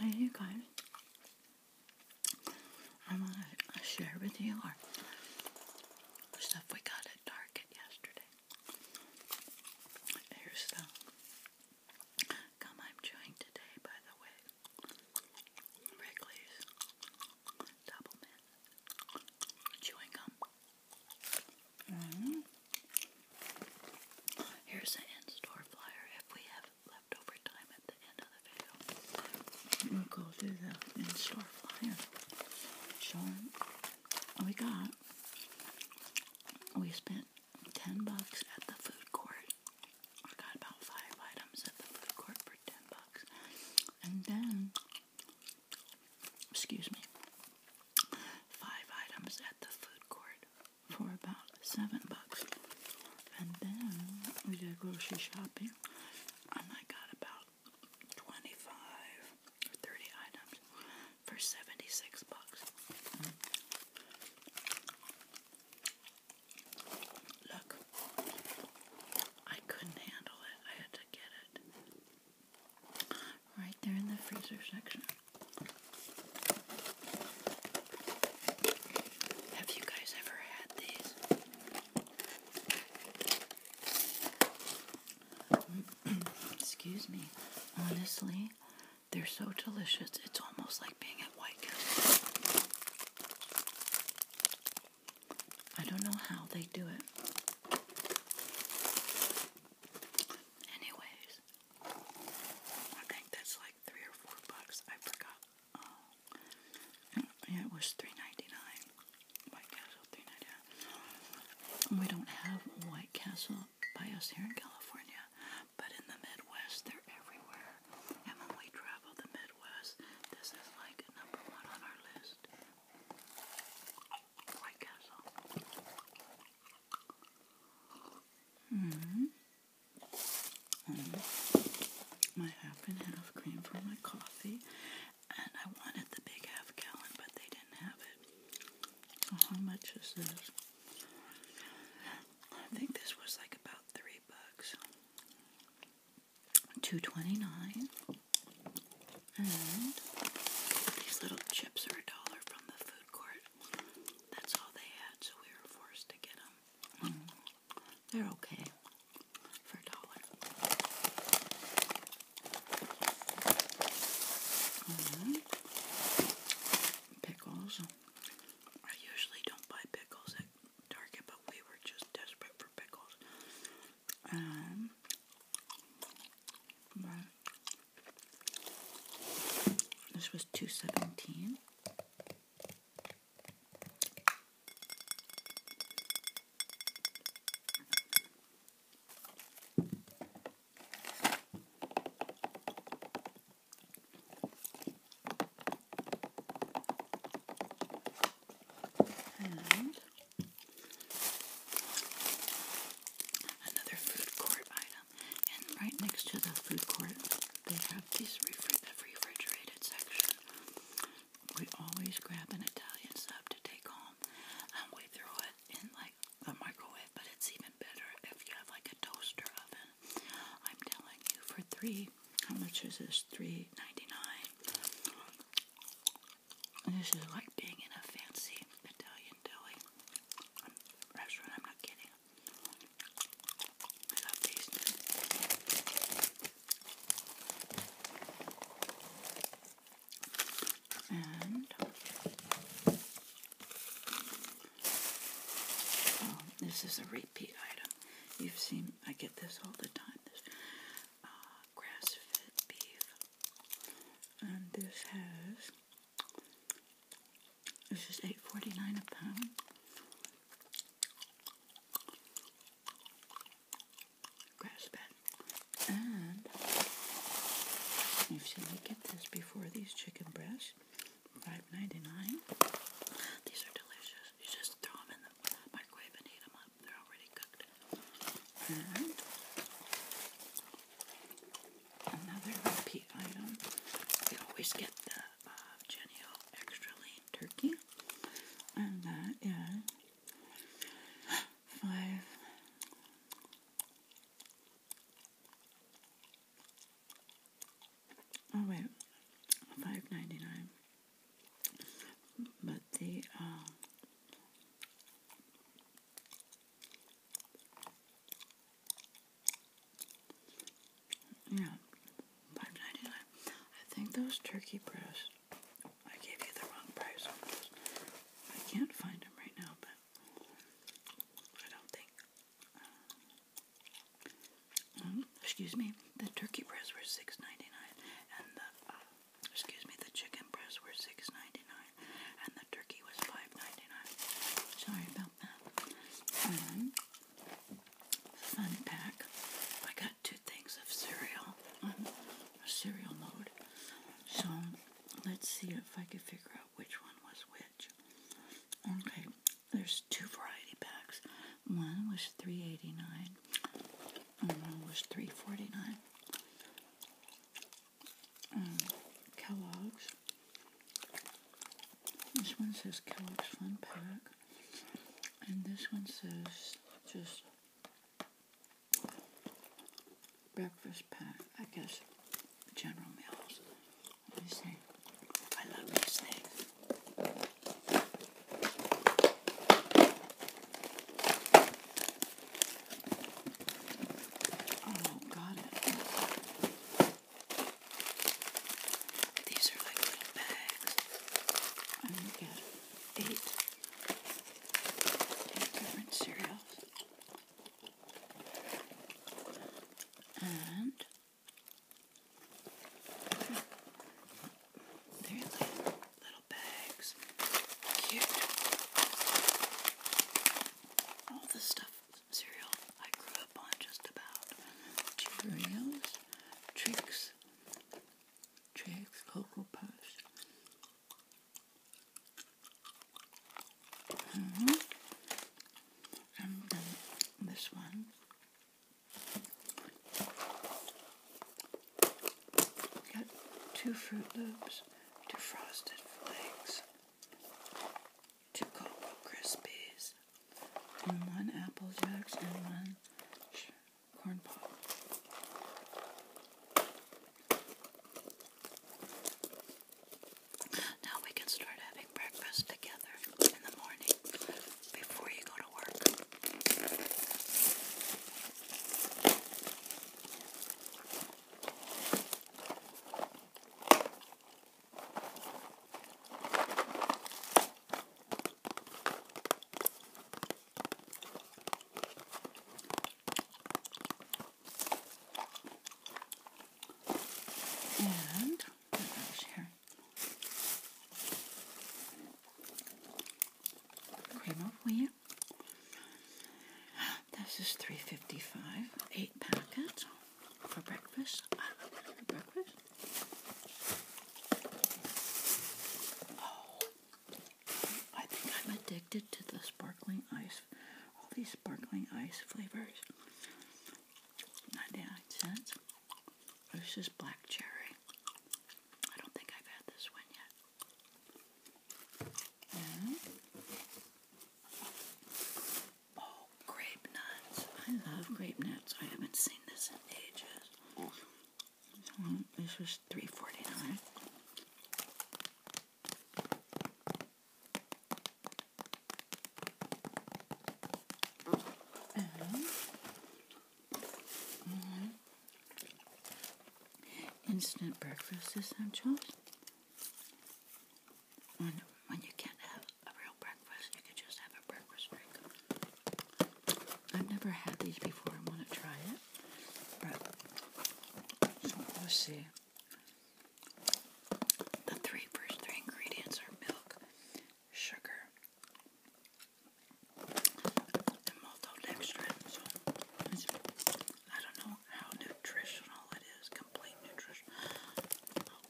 Hey you guys, I want to uh, share with you our stuff we got at Target yesterday. Here's the gum I'm chewing today, by the way. Wrigley's Double Chewing Gum. Mm-hmm. Here's the in-store flyer if we have leftover time at the end of the video. We'll go through the in-store flyer. So we got, we spent 10 bucks at the food court. I got about five items at the food court for 10 bucks. And then, excuse me, five items at the food court for about seven bucks. And then we did grocery shopping I got about 25 or 30 items for 76 bucks. Look, I couldn't handle it. I had to get it. Right there in the freezer section. Have you guys ever had these? Excuse me. Honestly, they're so delicious. It's almost like being at White Castle. I don't know how they do it. Anyways, I think that's like three or four bucks. I forgot. Um, yeah, it was three ninety nine. White Castle, three ninety nine. We don't have White Castle by us here in California, but in the Midwest, they're everywhere. And when we travel the Midwest, this is like number one on our list. Mm-hmm. Mm-hmm. my half and half cream for my coffee. And I wanted the big half gallon, but they didn't have it. So how much is this? I think this was like about three bucks. Two twenty nine. And these little chips are a dollar from the food that's all they had, so we were forced to get them. Mm-hmm. They're okay for a dollar. Mm-hmm. Pickles. I usually don't buy pickles at Target, but we were just desperate for pickles. Um, this was two seventeen. And Another food court item. And right next to the food court, they have this refrigerated section. We always grab an Italian sub to take home. And um, we throw it in like the microwave, but it's even better if you have like a toaster oven. I'm telling you, for three, how much is this? Three ninety nine. This is like being in a fancy Italian deli restaurant. I'm not kidding. I love these. And um, this is a repeat item. You've seen I get this all the time. This uh, grass-fed beef, and this has this is eight forty nine a pound. Grass fed, and you've seen me get this before. These chicken breasts, five ninety nine. These are delicious. You just throw them in the microwave and heat them up. They're already cooked. And another repeat item. We always get the uh, Genio Extra Lean Turkey, and that is five. Oh wait, five ninety nine. But the um, yeah, five ninety nine. I think those turkey breasts. I gave you the wrong price I can't find them right now, but I don't think. Uh, mm, excuse me. The turkey breasts were six ninety nine, and the uh, excuse me, the chicken breasts were $6.99 and the turkey was $5.99. Sorry about that. fun pack. I got two things of cereal on um, cereal mode. So let's see if I can figure out which one was which. Okay, there's two variety packs. One was $3.89 and one was $3.49. Mm, Kellogg's. This one says Kellogg's Fun Pack, and this one says just breakfast pack. I guess General meals. I love these things. Oh, got it. These are like little bags. I'm going to get eight, eight different cereals. And they're like Little bags. Cute. All the stuff, cereal I grew up on just about. Cheerios, Tricks, Tricks, Cocoa Puffs. Mm -hmm. And this one. Got two Fruit Loops, two Frosted Flakes, two Cocoa Krispies, and one Apple Jacks, and one Corn Pop. Now we can start having breakfast together in the morning before you go to work. And what else here? Cream of wheat. This is three fifty five. Eight packets for breakfast. breakfast. Oh, I think I'm addicted to the sparkling ice. All these sparkling ice flavors. Ninety nine cents. This is black cherry. I don't think I've had this one yet oh, grape nuts. I love grape nuts. I haven't seen this in ages. This was three forty nine. Instant breakfast essentials. When, when you can't have a real breakfast, you can just have a breakfast drink. I've never had these before. I want to try it. so we'll see. The three first three ingredients are milk, sugar, and maltose So I don't know how nutritional it is, complete nutrition.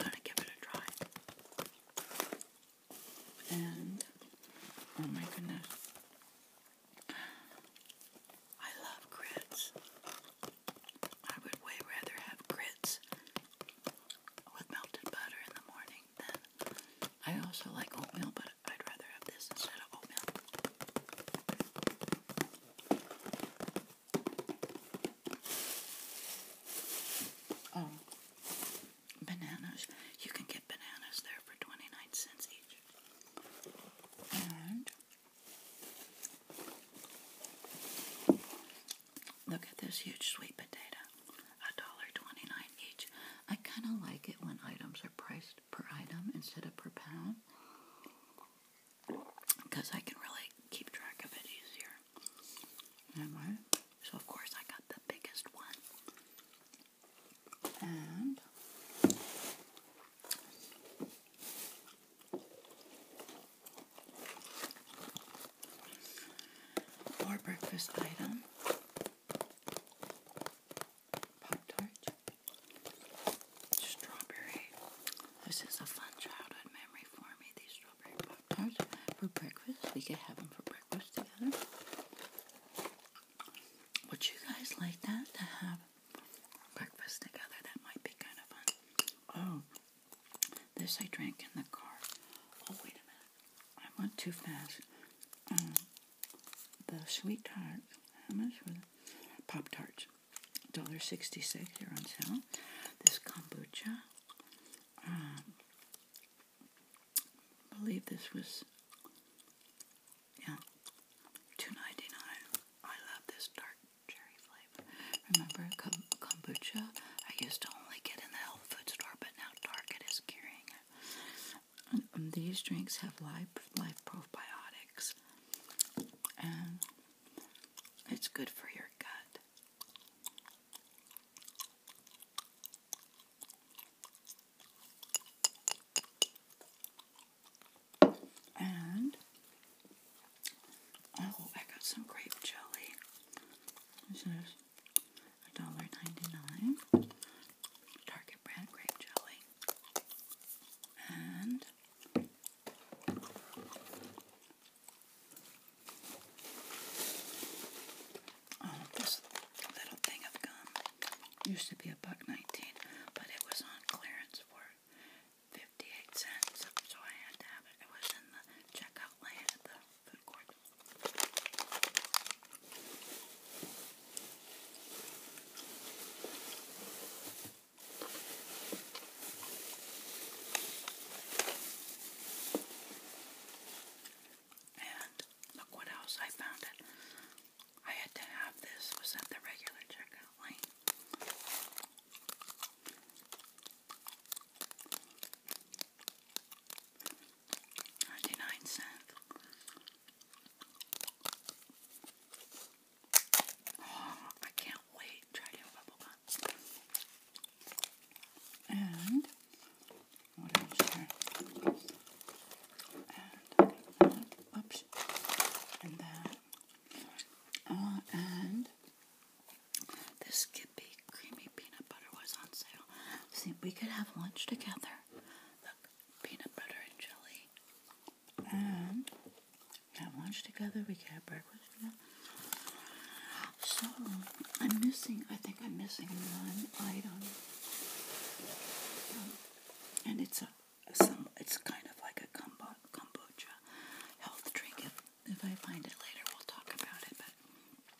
i to give it a try. And oh my goodness. I love grits. I would way rather have grits with melted butter in the morning than I also like oatmeal, butter. I'd rather have this instead of oatmeal. Oh, bananas. You can get bananas there for 29 cents each. And look at this huge sweet potato. $1.29 each. I kind of like it when items are priced cost per item instead of per pound because I can really keep track of it easier. so of course I got the biggest one. And more breakfast item. Pop-Tart, strawberry. This is a fun childhood memory for me, these strawberry Pop-Tarts for breakfast. We could have them for breakfast together. Would you guys like that, to have breakfast together? That might be kind of fun. Oh, this I drank in the car. Oh, wait a minute. I went too fast. Mm. The sweet tart, how much was it? Pop tarts, $1.66. They're on sale. This kombucha, I um, believe this was, yeah, 2 I love this dark cherry flavor. Remember kombucha? I used to only get in the health food store, but now Target is carrying it. Um, these drinks have live life probiotics, and it's good for your gut. And oh, I got some grape jelly. This is $1.99. Target brand grape jelly. And oh, this little thing of gum used to be a buck nineteen, but it was on clearance for fifty-eight cents, so I had to have it. It was in the checkout lane at the food court. And look what else I found it. I had to have this was at the regular checkout lane. 99 cents. Oh, I can't wait And what else And that. Oh, and this Skippy creamy peanut butter was on sale. See, we could have lunch together peanut butter and jelly. And we have lunch together, we have breakfast together. So I'm missing, I think I'm missing one item. Um, and it's a some it's kind of like a kombucha health drink. If, if I find it later we'll talk about it. But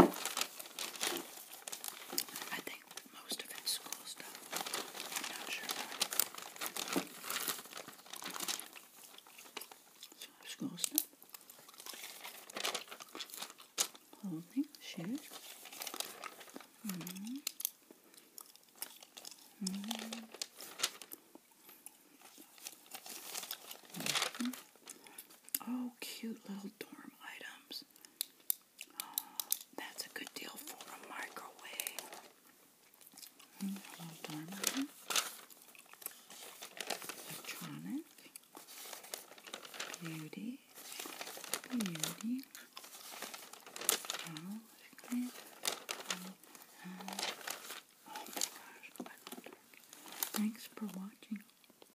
I think most of it's school stuff. not sure. school stuff. Clothing, shoes. Mm-hmm. Mm-hmm. Mm-hmm. Oh, cute little dorm items that's a good deal for a microwave. Electronic. Beauty. Beauty. oh my gosh. Thanks for watching.